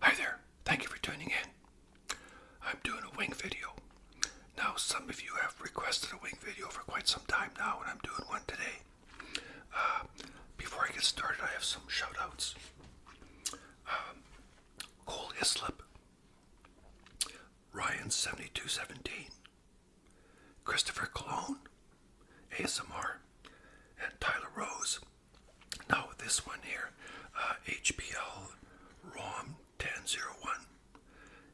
Hi there, thank you for tuning in. I'm doing a wing video. Now, some of you have requested a wing video for quite some time now, and I'm doing one today. Uh, before I get started, I have some shoutouts. Um, Cole Islip, Ryan seventy two seventeen, Christopher Cologne, ASMR, and Tyler Rose. Now this one here, uh, HBL ROM ten zero one.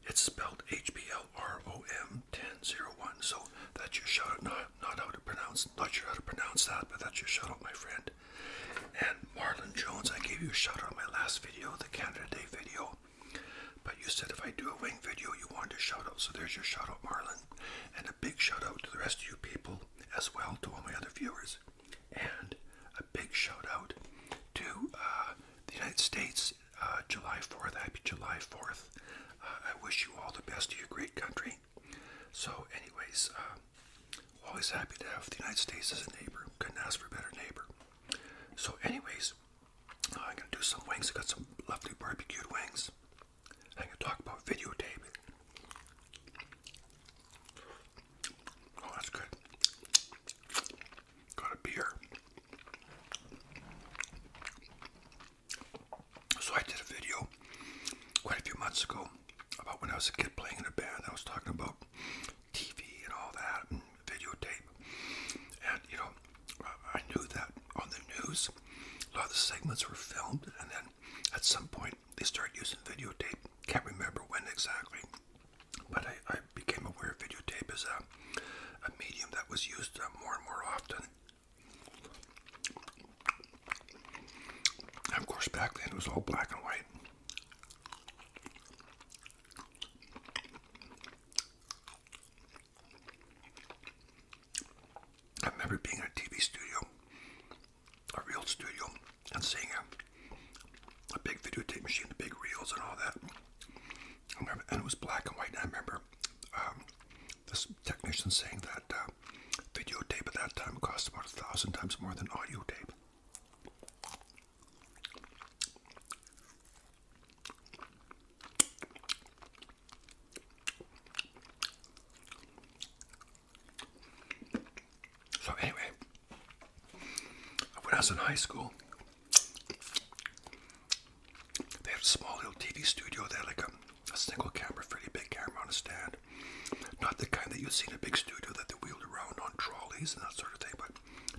It's spelled HBL ROM ten zero one. So that's your shout out. Not not how to pronounce. Not sure how to pronounce that, but that's your shout out, my friend. And Marlon Jones, I gave you a shout out on my last video, the Canada Day video. But you said if I do a wing video, you wanted a shout out. So there's your shout out, Marlon. And a big shout out to the rest of you people as well, to all my other viewers. And a big shout out to uh, the United States, uh, July 4th. Happy July 4th. Uh, I wish you all the best to your great country. So, anyways, um, Always happy to have the United States as a neighbor. Couldn't ask for a better neighbor. So, anyways, uh, I'm gonna do some wings. I got some lovely barbecued wings. I'm gonna talk about videotaping. Oh, that's good. Got a beer. So I did a video quite a few months ago about when I was a kid playing in a band. I was talking about TV and all that and videotape. And, you know, I knew that on the news, a lot of the segments were filmed. And then at some point, they started using videotape. Can't remember when exactly. But I, I became aware videotape is a, a medium that was used uh, more and more often. And of course, back then it was all black and white. I remember being in a TV studio, a real studio, and seeing a, a big videotape machine, the big reels and all that. and it was black and white. And I remember um, this technician saying that um, Video tape at that time cost about a thousand times more than audio tape. So anyway, when I was in high school, they had a small little TV studio. They had like a, single camera, fairly big camera on a stand kind. Not the kind that you see in a big studio that they wheeled around on trolleys and that sort of thing, but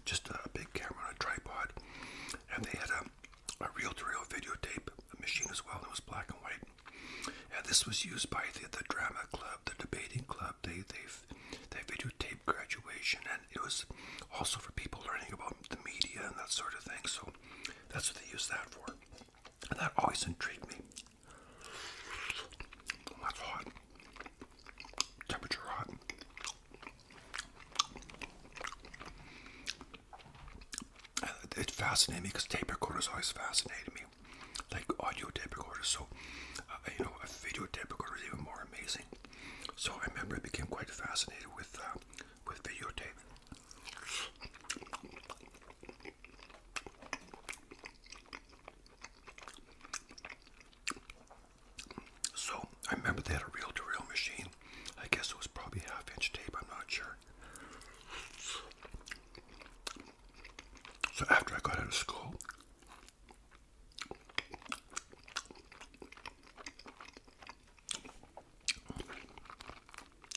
just a big camera on a tripod. And they had a, a reel to reel videotape machine as well that was black and white. And this was used by the, the drama club, the debating club. They, they, they videotaped graduation, and it was also for people learning about the media and that sort of thing. So that's what they used that for. And that always intrigued me. That's hot. Temperature hot. It fascinated me because tape recorders always fascinated me, like audio tape recorders. So, uh, you know, a video tape recorder is even more amazing. So I remember I became quite fascinated with uh, with videotape. So I remember they had a real to real machine. I guess it was probably half-inch tape. I'm not sure. So after I got out of school,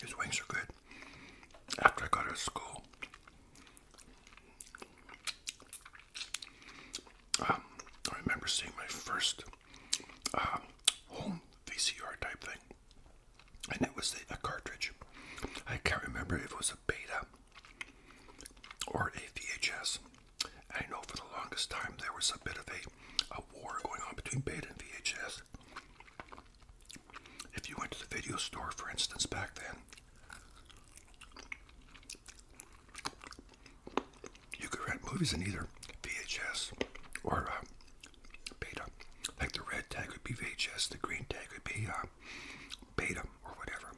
his wings are good. After I got out of school, um, I remember seeing my first um, home VCR type thing, and it was a, a cartridge. I can't remember if it was a Beta or a VHS. I know for the longest time there was a bit of a, a war going on between Beta and VHS. If you went to the video store, for instance, back then, you could rent movies in either VHS or uh, beta. Like the red tag would be VHS, the green tag would be uh, beta or whatever.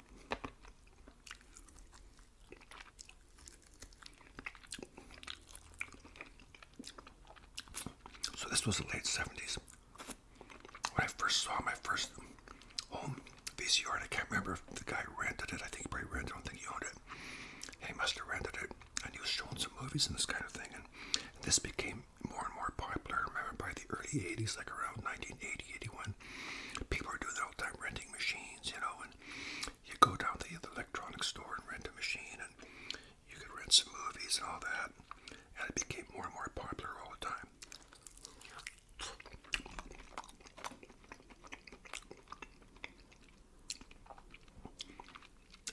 So this was the late 70s when I first saw my first home VCR, I can't remember if the guy rented it. I think he probably rented. I don't think he owned it. He must have rented it, and he was showing some movies and this kind of thing. And this became more and more popular. I remember by the early '80s, like around 1980, 81, people are doing that all the time, renting machines, you know. And you go down to the electronics store and rent a machine, and you could rent some movies and all that. And it became more and more popular all the time.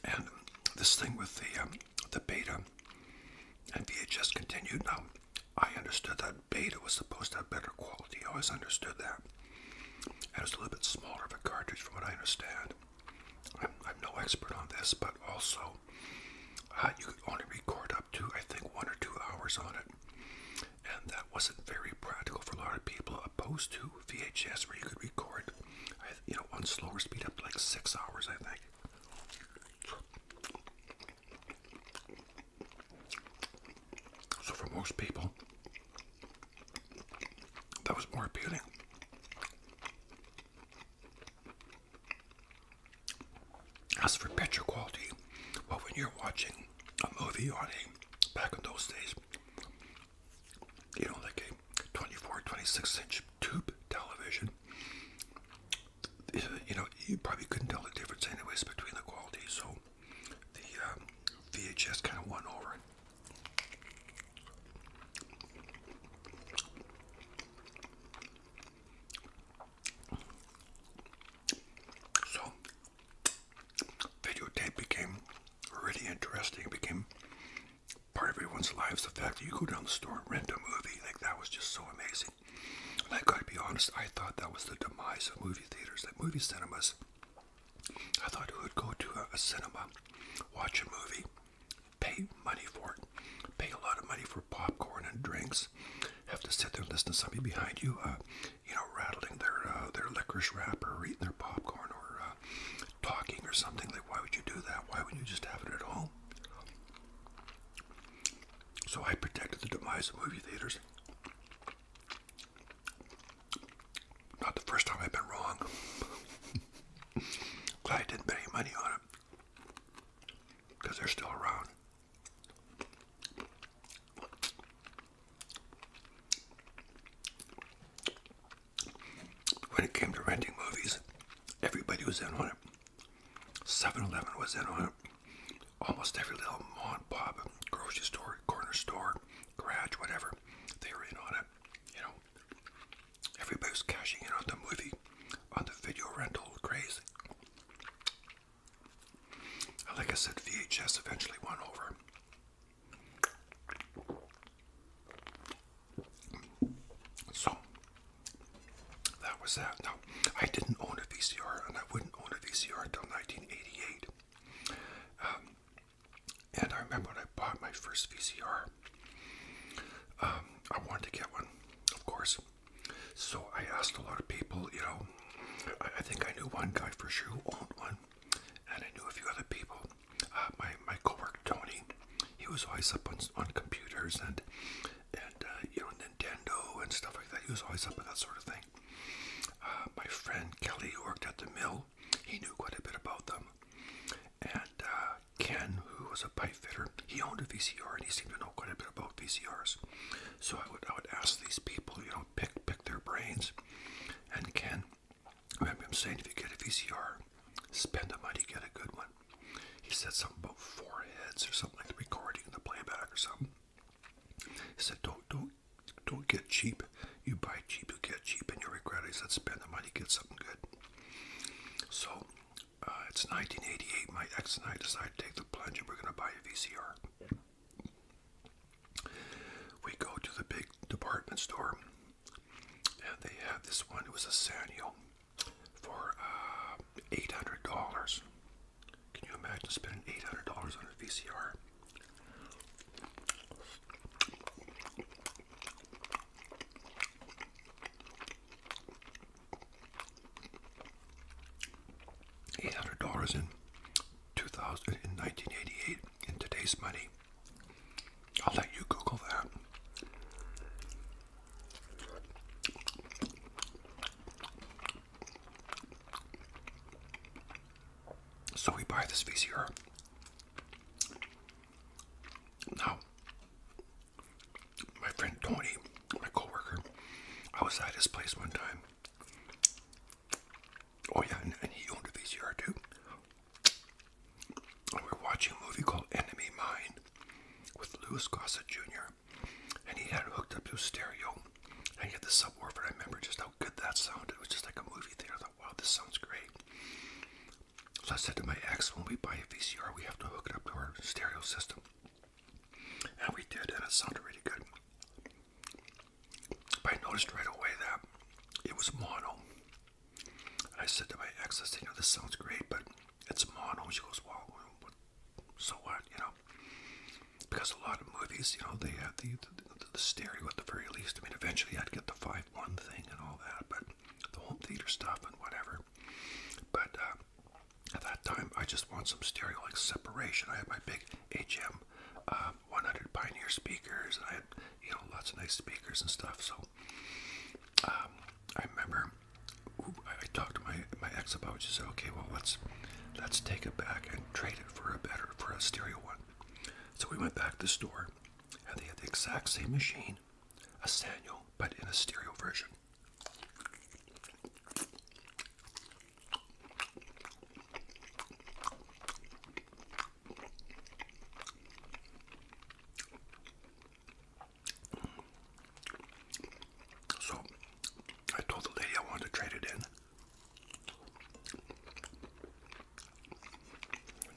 And this thing with the um, the beta and VHS continued. Now, I understood that beta was supposed to have better quality. I always understood that. And it was a little bit smaller of a cartridge, from what I understand. I'm, I'm no expert on this, but also uh, you could only record to, I think, one or two hours on it. And that wasn't very practical for a lot of people, opposed to VHS, where you could record, you know, on slower speed up like six hours, I think. So for most people, that was more appealing. As for picture quality, well, when you're watching a movie on a, back in those days, you know, like a 24, 26 inch tube television, you know, you probably couldn't tell the difference anyways between the quality, so the um, VHS kind of won over so, videotape became really interesting. It became part of everyone's lives. The fact that you go down the store and rent a movie, like that was just so amazing. And I gotta be honest, I thought that was the demise of movie theaters, that movie cinemas. I thought who would go to a, a cinema, watch a movie, pay money for it, pay a lot of money popcorn and drinks have to sit there and listen to somebody behind you, uh, you know, rattling their uh, their licorice wrapper or eating their popcorn or uh, talking or something. Like, why would you do that? Why wouldn't you just have it at home? So I protected the demise of movie theaters. Not the first time I've been wrong. Glad I didn't bet any money on it. Because they're still around. When it came to renting movies, everybody was in on it. 7 Eleven was in on it. Almost every little mom and pop, grocery store, corner store, garage, whatever, they were in on it. You know, everybody was cashing in on the movie, on the video rental craze. Like I said, VHS eventually won over. So that was that. Now, I didn't own a VCR, and I wouldn't own a VCR until 1988. Um, and I remember when I bought my first VCR, um, I wanted to get one, of course. So I asked a lot of people, you know, I, I think I knew one guy for sure who owned one, and I knew a few other people. Uh, my my coworker Tony, he was always up on on computers and and uh, you know Nintendo and stuff like that. He was always up with that sort of thing. Uh, my friend Kelly, who worked at the mill, he knew quite a bit about them. And uh, Ken, who was a pipefitter. He owned a VCR and he seemed to know quite a bit about VCRs. So I would I would ask these people, you know, pick pick their brains. And Ken, I remember him saying, if you get a VCR, spend the money, get a good one. He said something about four heads or something like the recording and the playback or something. He said, don't don't don't get cheap. You buy cheap, you get cheap, and you regret it. He said, spend the money, get something good. So uh, it's 1988. My ex and I decided to take the plunge and we're going to buy a VCR. We go to the big department store and they had this one. It was a Sanyo for uh, $800. Can you imagine spending $800 on a VCR? eight hundred dollars in two thousand in nineteen eighty eight in today's money. I'll let you Google that. So we buy this VCR. Now, my friend Tony my coworker. I was at his place one time. Oh yeah, and, he owned a VCR too. And we were watching a movie called Enemy Mine with Louis Gossett Jr. And he had hooked up to stereo. And he had the subwoofer. I remember just how good that sounded. It was just like a movie theater. I thought, wow, this sounds great. So I said to my ex, when we buy a VCR, we have to hook it up to our stereo system. And we did, and it sounded really good. But I noticed right away that it was mono. And I said to my ex, I said, you know, this sounds great, but it's mono. She goes, well, what, so what, you know? Because a lot of movies, you know, they have the, the, the stereo at the very least. I mean, eventually I'd get the 5-1 thing and all that, but the home theater stuff and whatever. But uh, at that time, I just want some stereo like separation. I had my big HM um, 100 Pioneer speakers, and I had you know lots of nice speakers and stuff. So um, I remember I talked to my my ex about. It. She said, "Okay, well let's let's take it back and trade it for a better for a stereo one." So we went back to the store, and they had the exact same machine, a Sanyo, but in a stereo version. So I told the lady I wanted to trade it in.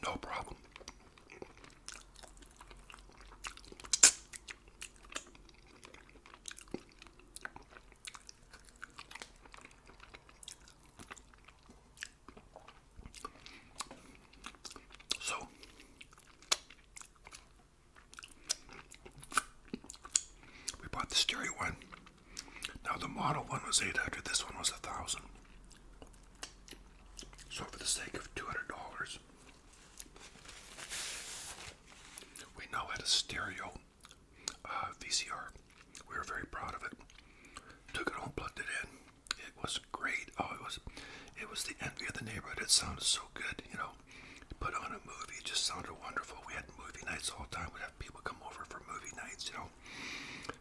No problem. So we bought the stereo one. Now the model one was eight hundred. This one was a thousand. So for the sake of two hundred dollars, we now had a stereo uh, VCR. We were very proud of it. Took it home, plugged it in. It was great. Oh, it was, it was the envy of the neighborhood. It sounded so good, you know. Put on a movie, it just sounded wonderful. We had movie nights all the time. We'd have people come over for movie nights, you know.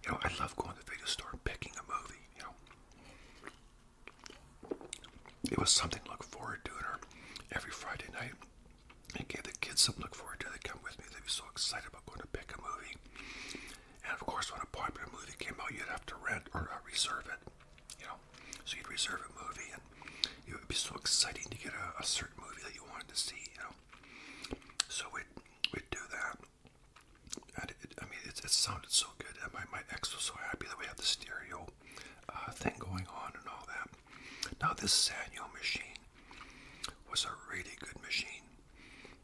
You know, I love going to the video store and picking a movie, you know it was something to look forward to. And every Friday night, it gave the kids something to look forward to. They come with me. They'd be so excited about going to pick a movie. And of course, when a popular movie came out, you'd have to rent or uh, reserve it. You know, so you'd reserve a movie, and it would be so exciting to get a, a certain movie that you wanted to see. You know, so we'd we'd do that. And it, I mean, it, it sounded so good. And my my ex was so happy that we had the stereo uh, thing going on and all that. Now, this Sanyo machine was a really good machine.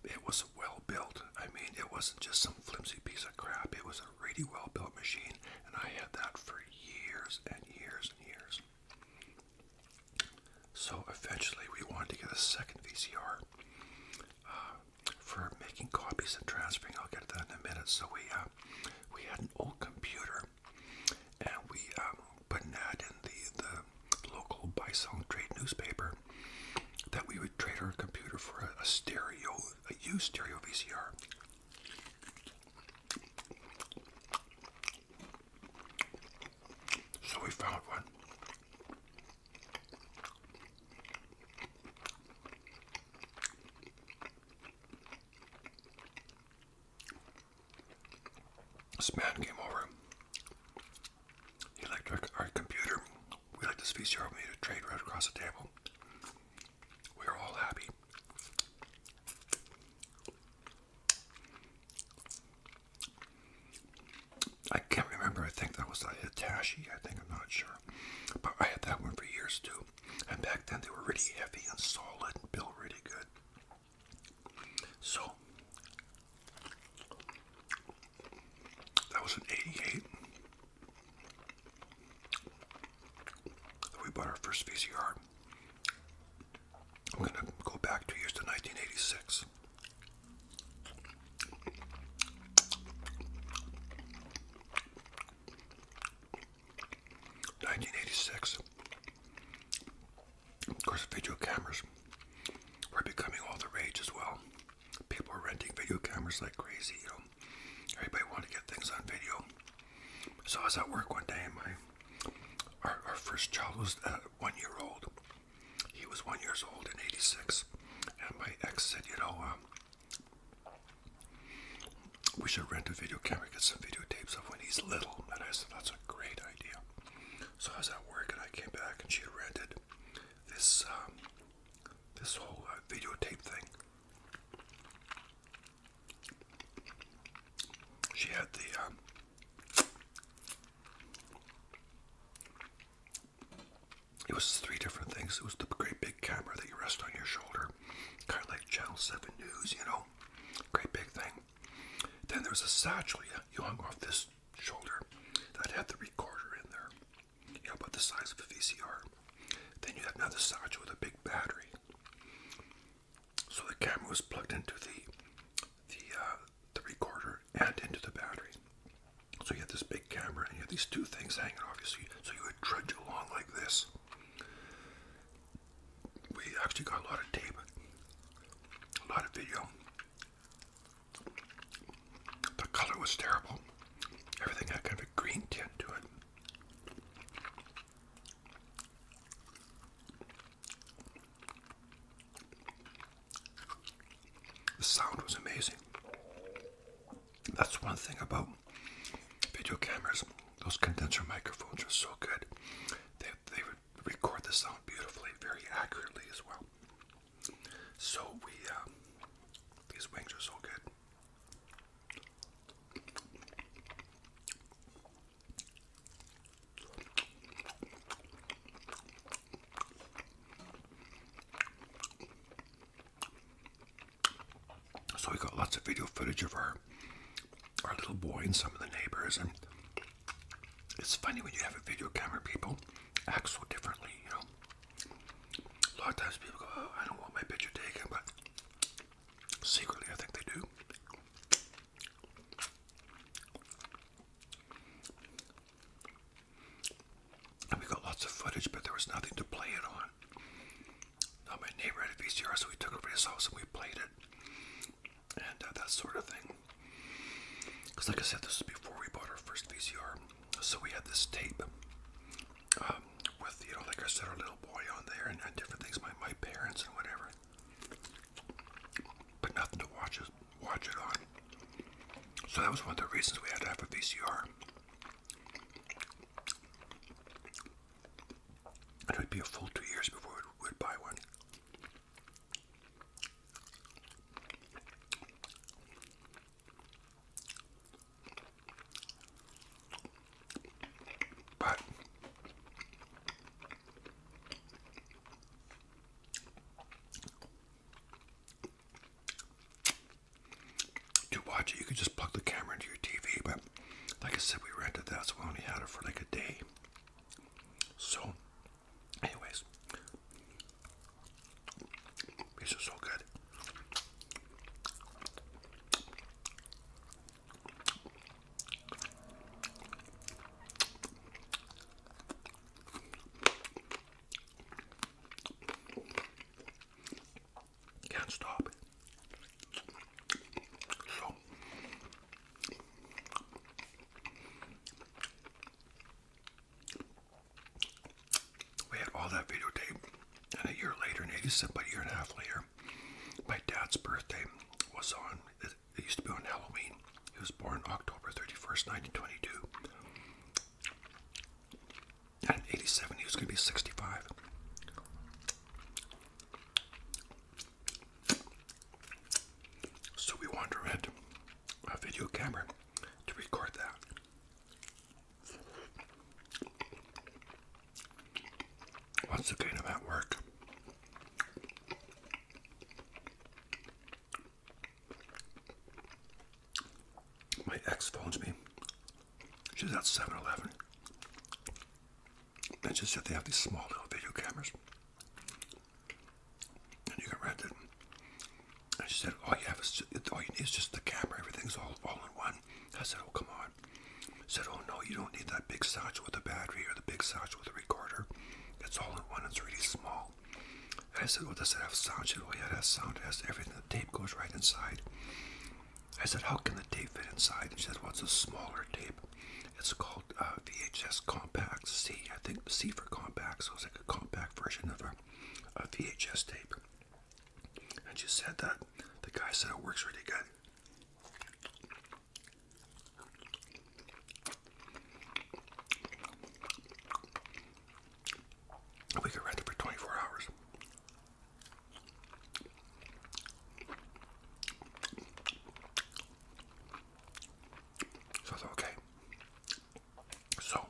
It was well built. I mean, it wasn't just some flimsy piece of crap. It was a really well built machine, and I had that for years and years and years. So eventually, we wanted to get a second VCR uh, for making copies and transferring. I'll get that in a minute. So we uh, we had an old computer and we um, put an ad in the the local buy-sell trade newspaper that we would trade our computer for a, a stereo, a used stereo VCR. So we found one. This man came over. He our, computer. We liked this VCR. made a trade right across the table. We were all happy. I can't remember. I think that was a Hitachi. I think I'm not sure, but I had that one for years too. And back then they were really heavy and solid and built really good. So that was an 88. We bought our first VCR. I'm going to go back two years to 1986. 1986. Of course, video cameras were becoming all the rage as well. People were renting video cameras like crazy, you know. Everybody wanted to get things on video. So I was at work one day, and my our, first child was uh, one year old. He was one years old in '86, and my ex said, "You know, uh, we should rent a video camera, get some videotapes of when he's little. And I said, that's a great idea. So I was at work and I came back and she rented this um, this whole uh, videotape thing. She had the um, it was three different things. It was the great big camera that you rest on your shoulder, kind of like Channel Seven News, you know know, great big thing. Then there's a satchel you, hung off this shoulder that had the recorder in there, you know, about the size of a VCR. Then you had another satchel with a big battery. So the camera was plugged into the uh, the recorder and into the battery. So you had this big camera and you had these two things hanging off you. So so you would trudge along like this we actually got a lot of tape, a lot of video. The color was terrible. Everything had kind of a green tint to it. The sound was amazing. That's one thing about video cameras. Those condenser microphones are so good. They, they record the sound beautifully, very accurately as well. So we, um, these wings are so good. So we got lots of video footage of our our little boy and some of the neighbors, and it's funny when you have a video camera, people act so differently. You know, a lot of times people go, oh, "I don't want my picture taken," but secretly, I think they do. And we got lots of footage, but there was nothing to play it on. Now uh, my neighbor had a VCR, so we took over his house and we played it, and uh, that sort of thing. Because, like I said, this was before we bought our first VCR, so we had this tape um, with, you know, like I said, our little boy on there and, and different things, my my parents and whatever, but nothing to watch it watch it on. So that was one of the reasons we had to have a VCR. It would be a full two years before we would buy one. But to watch it, you could just plug the camera into your TV, but like I said, we rented that, so we only had it for like a day. So, anyways, these are so good. Can't stop we had all that videotape, and a year later, in 87, but a year and a half later, my dad's birthday was on, it, used to be on Halloween. He was born October 31st, 1922. And 87, he was going to be 65. So we want a video camera to record that. What's the gain of that work? My ex phones me. She's at Seven Eleven. That's just that they have these small little video cameras. And you can rent it. I just said, all you have is all you need is just the camera. Everything's all, all in one. I said, oh, come on. I said, oh, no, you don't need that big satchel with the battery or the big satchel with the recorder. It's all in one. It's really small. And I said, well, oh, does it have sound? She said, oh, yeah, it has sound. It has everything. The tape goes right inside. I said, how can the tape fit inside? And she said, well, it's a smaller tape. It's called VHS uh, Compact C. I think C for compact, so it's like a compact version of a, VHS tape. And she said that the guy said it works really good. We could rent it for 24 hours. So I okay. So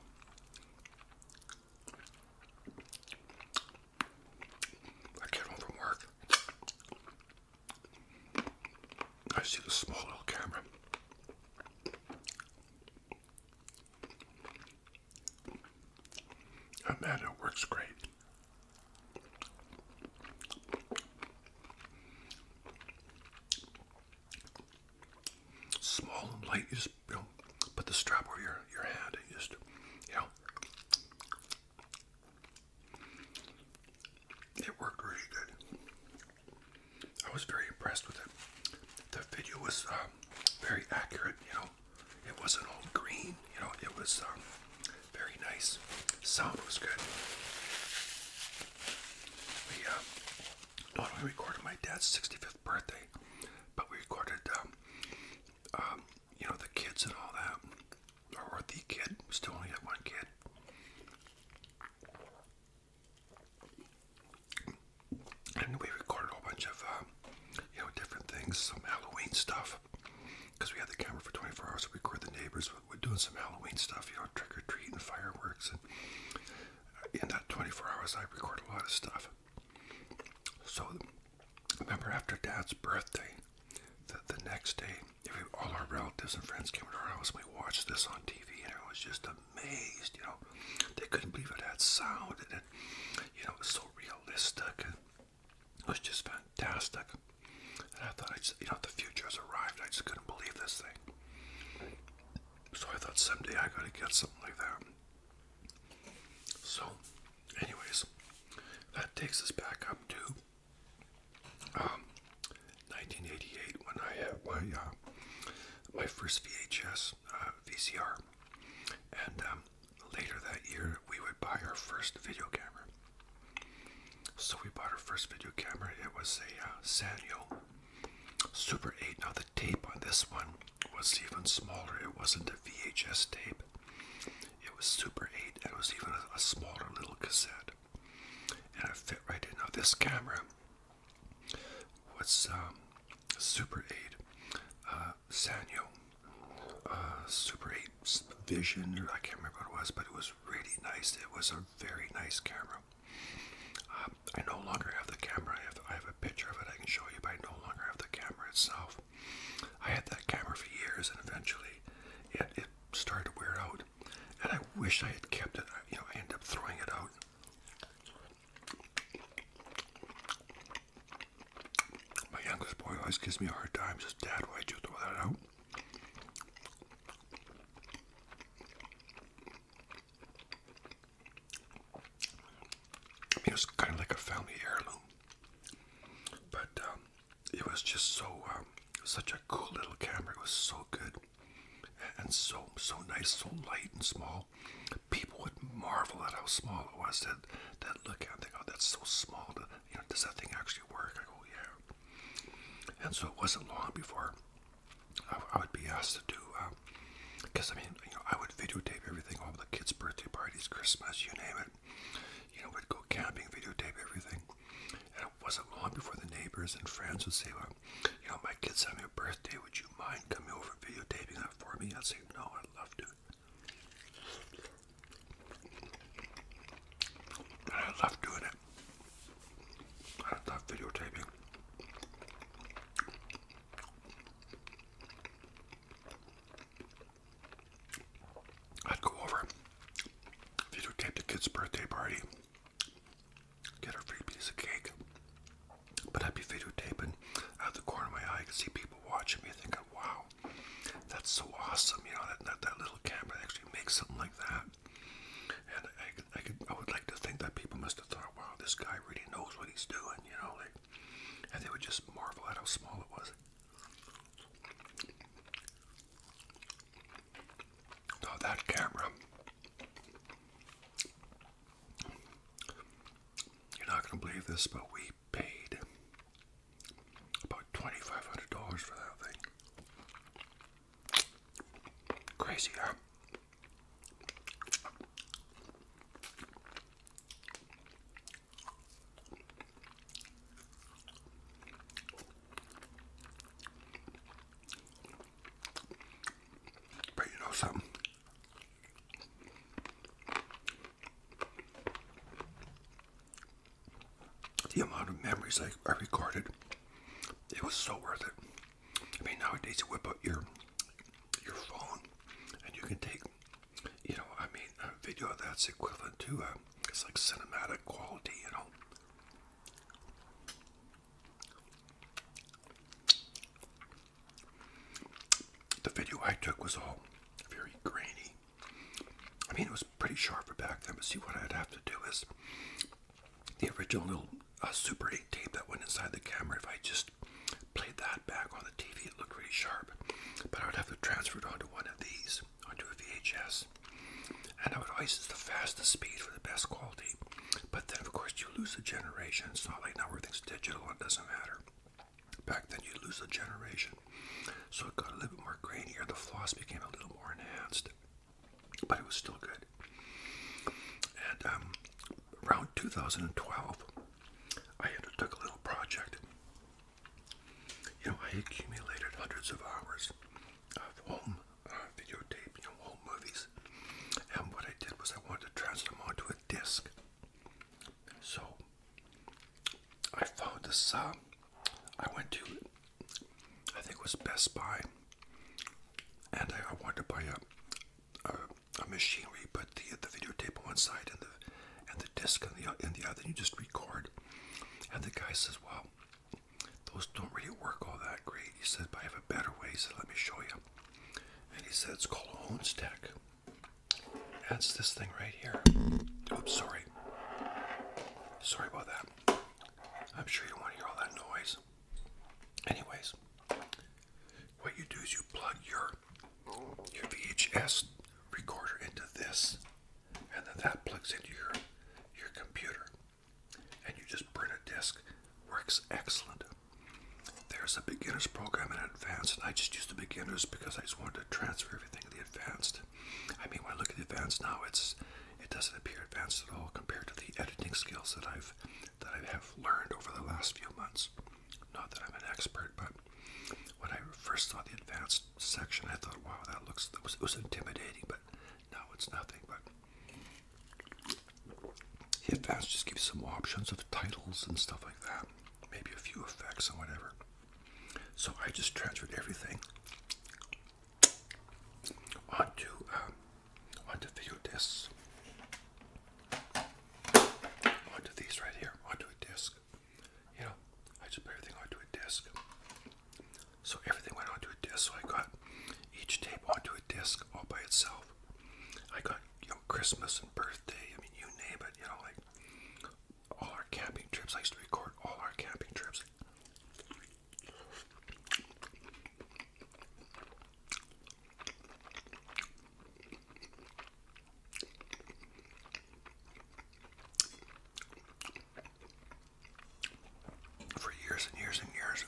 I came home from work. I see the small little camera. And man, it works great. Small light, you just you know, put the strap over your, your hand and just, you know. It worked really good. I was very impressed with it. The video was um, very accurate, you know. It wasn't all green, you know, it was um, very nice. Sound was good. We uh, not only recorded my dad's 65th birthday, but we recorded, um, um, you know, the kids and all that. Or, the kid. still only had one kid. And we recorded a whole bunch of, uh, you know, different things, some Halloween stuff because we had the camera for 24 hours to record the neighbors. We're doing some Halloween stuff, you know, trick or treat and fireworks. And uh, in that 24 hours, I record a lot of stuff. So remember, after Dad's birthday, the, next day, all our relatives and friends came to our house and we watched this on TV, and I was just amazed. You know, they couldn't believe it had sound, and it, you know, it was so realistic. It was just fantastic. And I thought, I just, you know, the future has arrived. I just couldn't believe this thing. So I thought someday I gotta get something like that. So, anyways, that takes us back up to 1988 um, when I had my uh, my first VHS uh, VCR, and um, later that year we would buy our first video camera. So we bought our first video camera. It was a uh, Sanyo Super 8. Now the tape on this one was even smaller. It wasn't a VHS tape. It was Super 8 and it was even a, smaller little cassette. And it fit right in. Now this camera was um, Super 8 uh, Sanyo uh, Super 8 vision, I can't remember what it was, but it was really nice. It was a very nice camera. Um, I no longer have the camera. I have, I have a picture of it I can show you, but I no longer have the camera itself. I had that camera for years, and eventually, it, started to wear out. And I wish I had kept it. You know, I end up throwing it out. My youngest boy always gives me a hard time. Says, "Dad, why'd you throw that out?" it was kind of like a family heirloom, but um, it was just so um, such a cool little camera. It was so good and so so nice, so light and small. People would marvel at how small it was. That that look at, it, they go, oh, "That's so small." does that thing actually work? I go, "Yeah." And so it wasn't long before I, I would be asked to do, because uh, I mean, you know, I would videotape everything, all the kids' birthday parties, Christmas, you name it. You know, we'd go camping, videotape everything. And it wasn't long before the neighbors and friends would say, well, you know, my kid's having a birthday, would you mind coming over and videotaping that for me? I'd say, no, I'd love to. And I love doing it. I love videotaping. I'd go over, videotape the kid's birthday party, get a free piece of cake, but I'd be videotaping out of the corner of my eye, I could see people watching me thinking, wow, that's so awesome, you know, that, that, little camera actually makes something like that. And I, I, could, I would like to think that people must have thought, wow, this guy really knows what he's doing, you know, like, and they would just marvel at how small it was. Now that camera, you're not going to believe this, but we paid about $2,500 for that thing. Crazy, huh? But you know something? the amount of memories I, I recorded, it was so worth it. I mean, nowadays you whip out your your phone, and you can take, you know, I mean, a video that's equivalent to a, uh, it's like cinematic quality, you know. The video I took was all very grainy, I mean, it was pretty sharp back then, but see, what I'd have to do is the original little uh, Super 8 tape that went inside the camera, if I just played that back on the TV, it looked really sharp. But I would have to transfer it onto one of these, onto a VHS. And I would use the fastest speed for the best quality. But then, of course, you lose a generation. It's not like now everything's digital, and it doesn't matter. Back then, you lose a generation. So it got a little bit more grainier. The floss became a little more enhanced, but it was still good. And um, around 2012, I undertook a little project. You know, I accumulated hundreds of hours of home uh, videotape, you know, home movies. And what I did was I wanted to transfer them onto a disc. So I found a uh, I went to, I think it was Best Buy, and I, wanted to buy a, a, machine where you put the, the videotape on one side and the, and the disc on the, on the other, and you just record. And the guy says, well, those don't really work all that great. He said, but I have a better way. He said, let me show you. And he said, it's called a home Honestech. That's this thing right here. Oops, sorry. Sorry about that. I'm sure you don't want to hear all that noise. Anyways, what you do is you plug your your VHS recorder into this, and then that plugs into your your computer, and you just burn a disc. Works excellent. There's a beginner's program and advanced, and I just used the beginners because I just wanted to transfer everything to the advanced. I mean, when I look at the advanced now, it's it doesn't appear advanced at all compared to the editing skills that I've that I have learned over the last few months. Not that I'm an expert, but when I first saw the advanced section, I thought, "Wow, that looks that was, it was intimidating." But no, it's nothing. But the advanced just gives some options of titles and stuff like that, maybe a few effects and whatever. So I just transferred everything onto um, onto video discs, onto these right here, onto a disc. You know, I just put everything onto a disc. So everything went onto a disc. So I got each tape onto a disc all by itself. I got you know Christmas and birthday. I mean, you name it. You know, like all our camping trips. I used to record all our camping trips for years and years and years,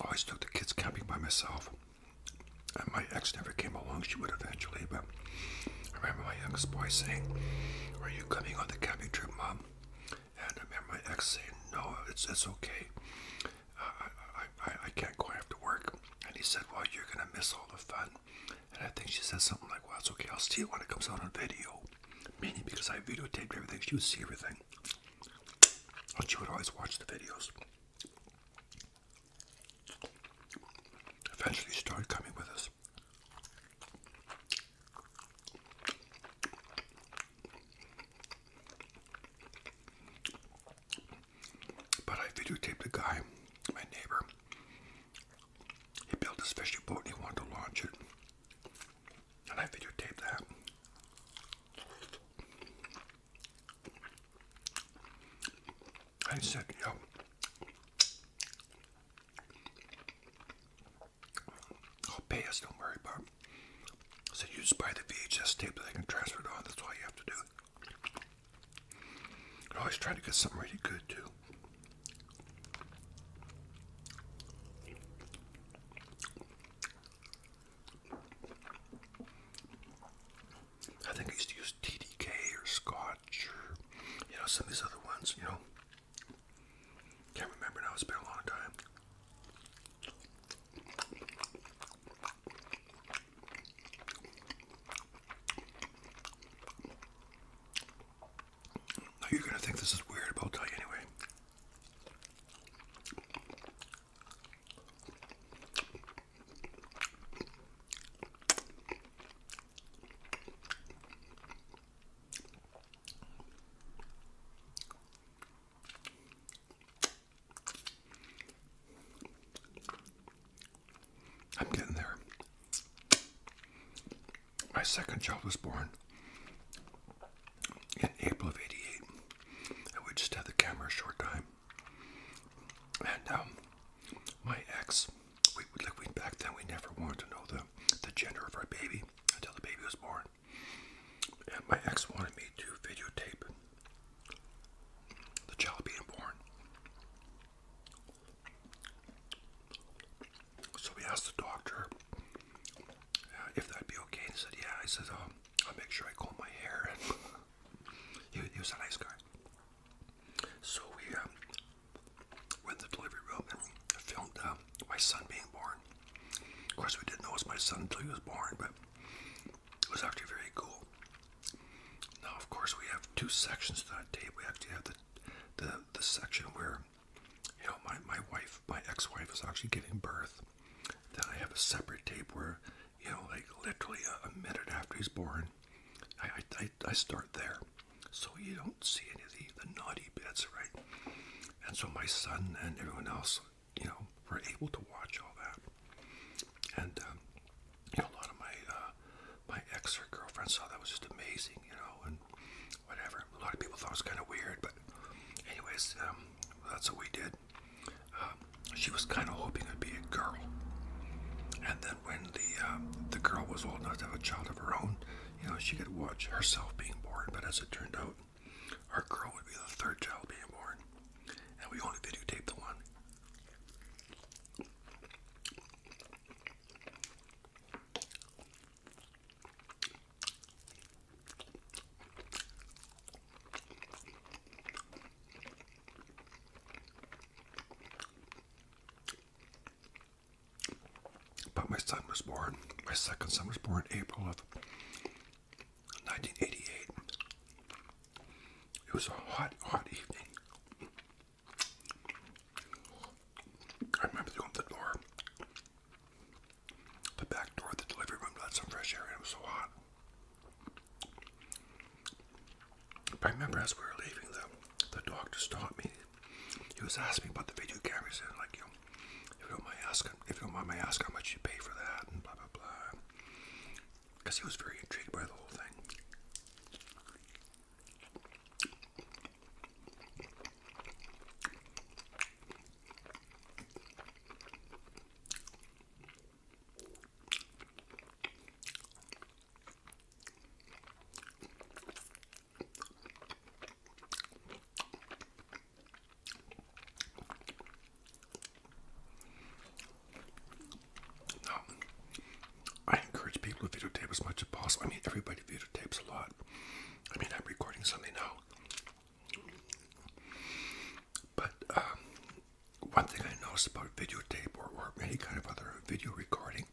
I always took the kids camping by myself. And my ex never came along, she would eventually, but I remember my youngest boy saying, Are you coming on the camping trip, Mom? And I remember my ex saying, "No, it's it's okay. I, I I can't go after work." And he said, "Well, you're gonna miss all the fun." And I think she said something like, "Well, it's okay. I'll see it when it comes out on video." Meaning, because I videotaped everything, she would see everything. And she would always watch the videos. Eventually, she started coming with us. But I videotaped the guy, my neighbor. He built this fishing boat and he wanted to launch it. And I videotaped that. I said, yo, I'll oh, pay us, don't worry Bob. So you just buy the VHS tape that I can transfer it on, that's all you have to do. always try to get something really good too. I think I used to use TDK or Scotch or, you know, some of these other ones, you know. Can't remember now, it's been a long time. you're gonna think this is weird, I'll tell you anyway. I'm getting there. My second child was born in April of 88, and we just have the camera a short time. And um, my ex, we like we back then we never wanted to know the the gender of our baby until the baby was born. And my ex wanted me to videotape the child being born. So we asked the doctor uh, if that'd be okay. He said, yeah. He said, um, I'll make sure I comb my hair. he, was a nice guy. So we um, went the delivery room and filmed uh, my son being born. Of course, we didn't know it was my son until he was born, but it was actually very cool. Now, of course, we have two sections to that tape. We actually have the the, the section where you know my, my wife, my ex-wife, is actually giving birth. Then I have a separate tape where you know, like literally a, a minute after he's born, I, I I start there so you don't see any of the, the naughty bits, right? And so my son and everyone else, you know, were able to watch all that. And um, you know, a lot of my uh, my ex girlfriend saw that was just amazing, you know, and whatever. A lot of people thought it was kind of weird, but anyways, um, that's what we did. Um, she was kind of hoping it'd be a girl, and then when the um, the girl was old enough to have a child of her own, you know, she could watch herself being born, but as it turned out, our girl would be the third child being born. And we only videotaped the one. But my son was born, my second son was born in April of 1988. It was a hot, hot evening. I remember going to the door, the back door the delivery room, let some fresh air in. It was so hot. I remember as we were leaving, the, the doctor stopped me he was asking me about the video cameras and like, you know, if you don't mind asking, if you don't mind my asking how much you pay for that and blah, blah, blah. Because he was very intrigued by the whole thing. Now, I encourage people to videotape as much as possible. I mean, everybody videotapes a lot. I mean, I'm recording something now. But um, one thing I noticed about videotape or, or any kind of other video recording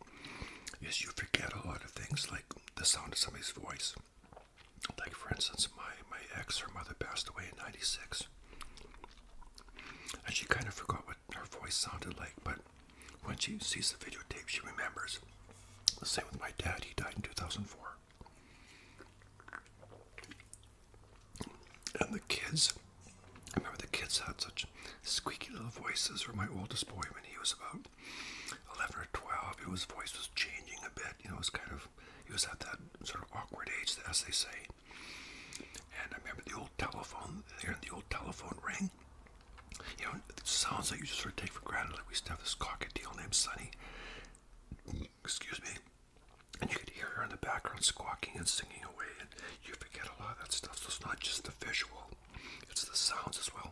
is you forget a lot of things like the sound of somebody's voice. Like for instance, my my ex, her mother passed away in '96, and she kind of forgot what her voice sounded like. But when she sees the videotape, she remembers. The same with my dad; he died in 2004, and the kids. I remember the kids had such squeaky little voices. Or my oldest boy, when he was about 11 or 12, his voice was changing a bit. You know, it was kind of, he was at that sort of awkward age, as they say. And I remember the old telephone, the old telephone ring. You know, it sounds like you just sort of take for granted. Like we used have this cockatiel named Sunny. Excuse me. And you could hear her in the background squawking and singing away, and you forget a lot of that stuff. So it's not just the visual, it's the sounds as well.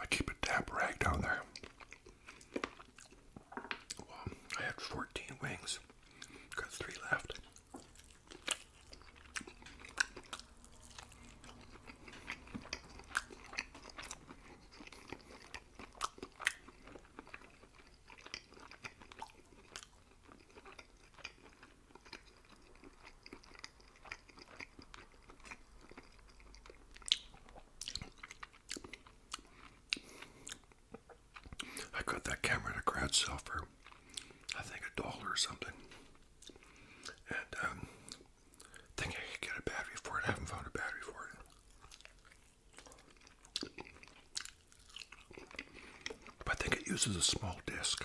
I keep a tap rag down there. I had 14 wings, got three left. I got that camera at a garage sale for, I think, a dollar or something. And um, think I could get a battery for it. haven't found a battery for it. I think it uses a small disc.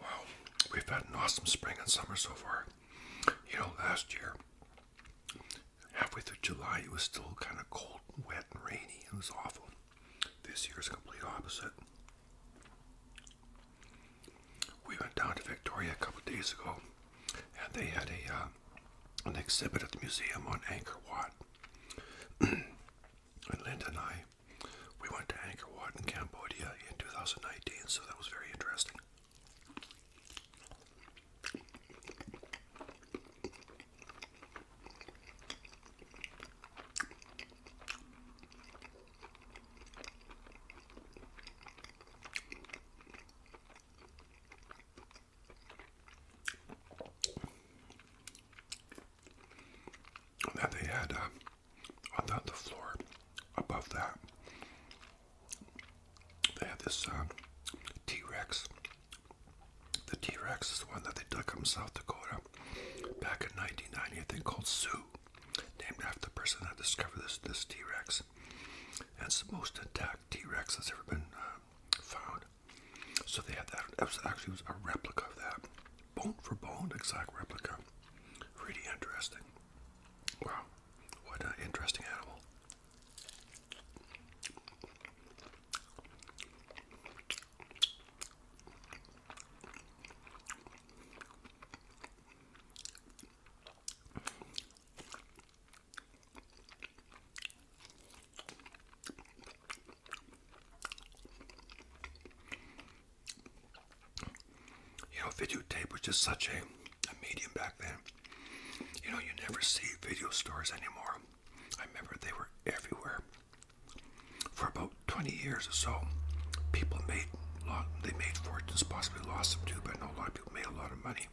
Wow, we've had an awesome spring and summer so far. You know, last year, halfway through July, it was still kind of cold and wet and rainy. It was awful. This year is complete opposite. We went down to Victoria a couple days ago, and they had a uh, an exhibit at the museum on Anchor Wat. and Linda and I we went to Angkor Wat in Cambodia in 2019, so that was very interesting. And they had uh, on the, floor above that, they have this uh, T Rex. The T Rex is the one that they dug up in South Dakota back in 1990, I think, called Sue, named after the person that discovered this this T Rex. And it's the most intact T Rex that's ever been uh, found. So they had that. It was actually was a replica of that, bone for bone, exact replica. Really interesting. Wow, what an interesting animal. You know, videotape was just such a, medium back then. You know, you never see video stores anymore. I remember they were everywhere. For about 20 years or so, people made a lot, they made fortunes, possibly lost some too, but I know a lot of people made a lot of money.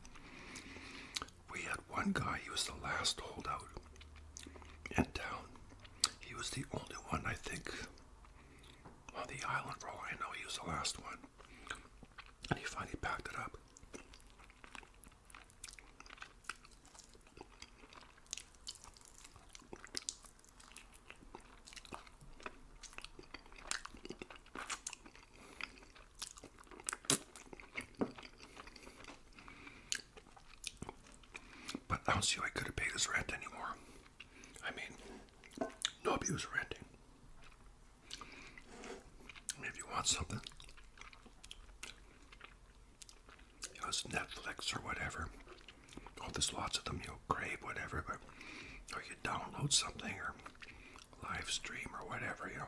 We had one guy, he was the last holdout in town. He was the only one, I think, well, the island roll, I know he used the last one. And he finally packed it up. But I don't see why I could have paid his rent anymore. I mean, no abuse renting. I mean, if you want something, you know, it's Netflix or whatever. Oh, there's lots of them. You'll crave whatever, but or you download something or live stream or whatever, you know.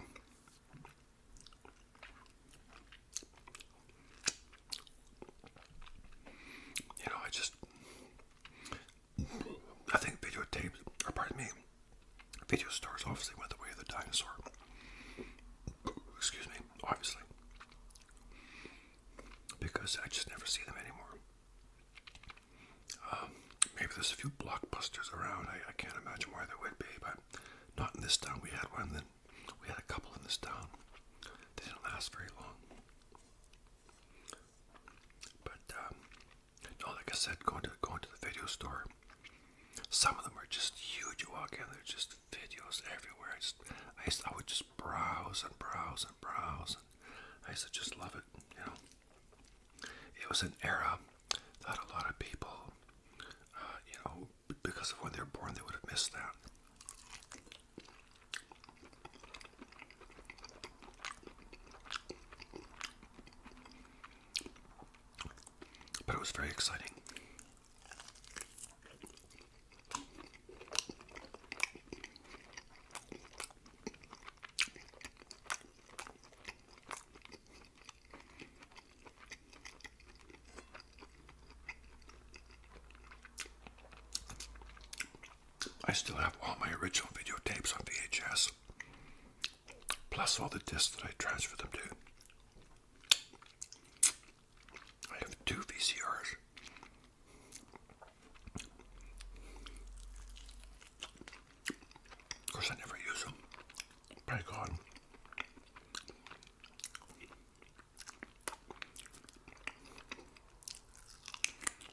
You know, I just I think videotapes, or pardon me, video stores obviously went the way of the dinosaur. Excuse me, obviously. Because I just never see them anymore. Um, maybe there's a few blockbusters around. I, I can't imagine why there would be, but not in this town. We had one, then we had a couple in this town. They didn't last very long. But um, no, like I said, going to going to the video store. Some of them are just huge. You walk in, there's just videos everywhere. I just I, used, I would just browse and browse and browse. And I used to just love it. You know, it was an era that a lot of people, uh, you know, because of when they were born, they would have missed that. But it was very exciting. I still have all my original video tapes on VHS, plus all the discs that I transferred them to. I have two VCRs. Of course, I never use them. Pray God.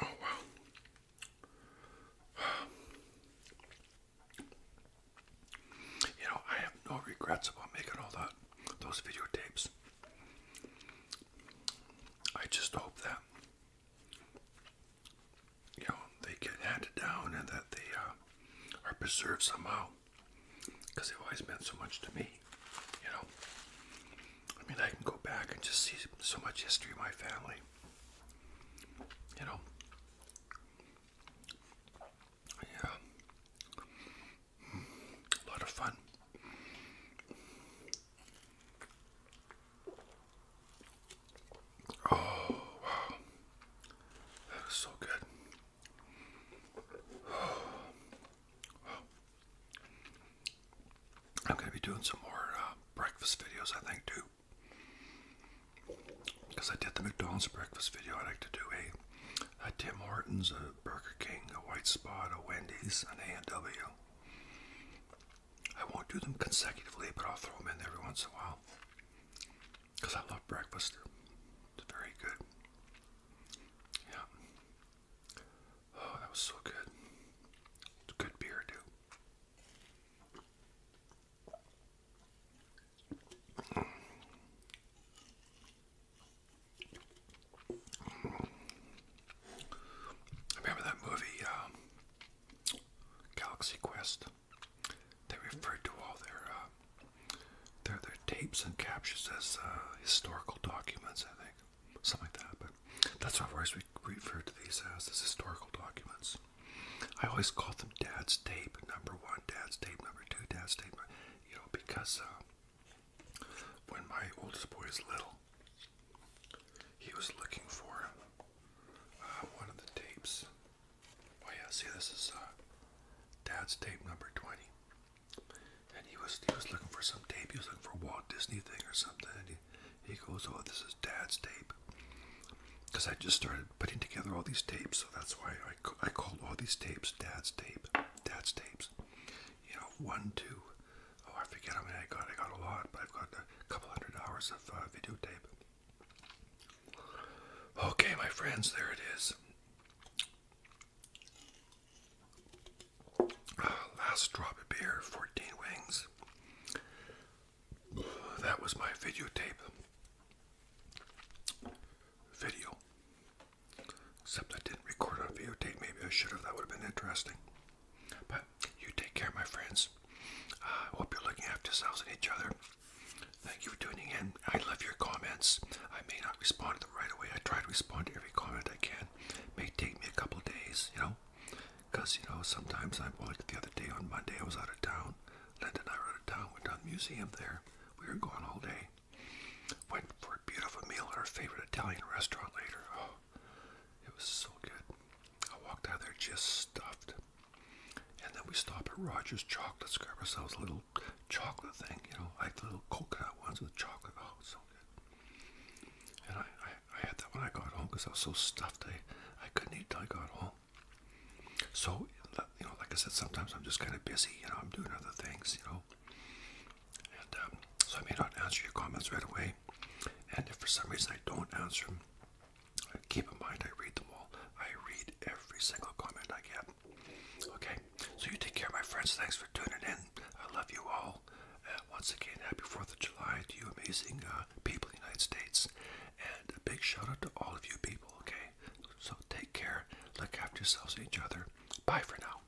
Oh, wow. You know, I have no regrets about making all that, those videotapes. I just hope that, you know, they get handed down and that they uh, are preserved somehow because they've always meant so much to me you know. I mean, I can go back and just see so much history in my family, you know. Yeah, a lot of fun. Oh, wow, that was so good. I'm going to be doing some more uh, breakfast videos, I think, too. Because I did the McDonald's breakfast video, I like to do a, a Tim Hortons, a Burger King, a White Spot, a Wendy's, an A&W. I won't do them consecutively, but I'll throw them in every once in a while. Because I love breakfast. It's very good. Yeah. Oh, that was so good. good beer, too. remember that movie, um, Galaxy Quest. They referred to all their uh, their their tapes and captures as uh, historical documents. I think something like that. But that's what I've always re referred to these as, as historical documents. I always call them Dad's tape number one, Dad's tape number two, Dad's tape. You know, because uh, when my oldest boy is little, he was looking for uh, one of the tapes. Oh yeah, see, this is uh, Dad's tape number twenty. And he was he was looking for some tape. He was looking for a Walt Disney thing or something. And he, he goes, "Oh, this is Dad's tape," because I just started putting together all these tapes. So that's why I I called all these tapes Dad's tape, Dad's tapes. You know, one, two. Oh, I forget how many I got. I got a lot, but I've got a couple hundred hours of uh, video tape. Okay, my friends, there it is last drop of beer, 14 wings. That was my videotape video. Except I didn't record on videotape. Maybe I should have. That would have been interesting. But you take care, my friends. I hope you're looking after yourselves and each other. Thank you for tuning in. I love your comments. I may not respond to them right away. I try to respond to every comment I can plan. It may take me a couple days, you know, because, you know, sometimes I'm like the other day on Monday, I was out of town. Linda and I were out of town, went down to the museum there. We were gone all day. Went for a beautiful meal at our favorite Italian restaurant later. Oh, it was so good. I walked out of there just stuffed. And then we stopped at Roger's Chocolates, grabbed ourselves a little chocolate thing, you know, like the little coconut ones with chocolate. Oh, it's so good. And I, I, I had that when I got home because I was so stuffed I, I couldn't eat till I got home. So, you know, like I said, sometimes I'm just kind of busy, you know, I'm doing other things, you know. And um, so I may not answer your comments right away. And if for some reason I don't answer them, uh, keep in mind I read them all. I read every single comment I get. Okay, so you take care, my friends. Thanks for tuning in. I love you all well. once again, happy 4th of July to you amazing uh, people in the United States. And a big shout out to all of you people, okay? So take care, look after yourselves and each other. Bye for now.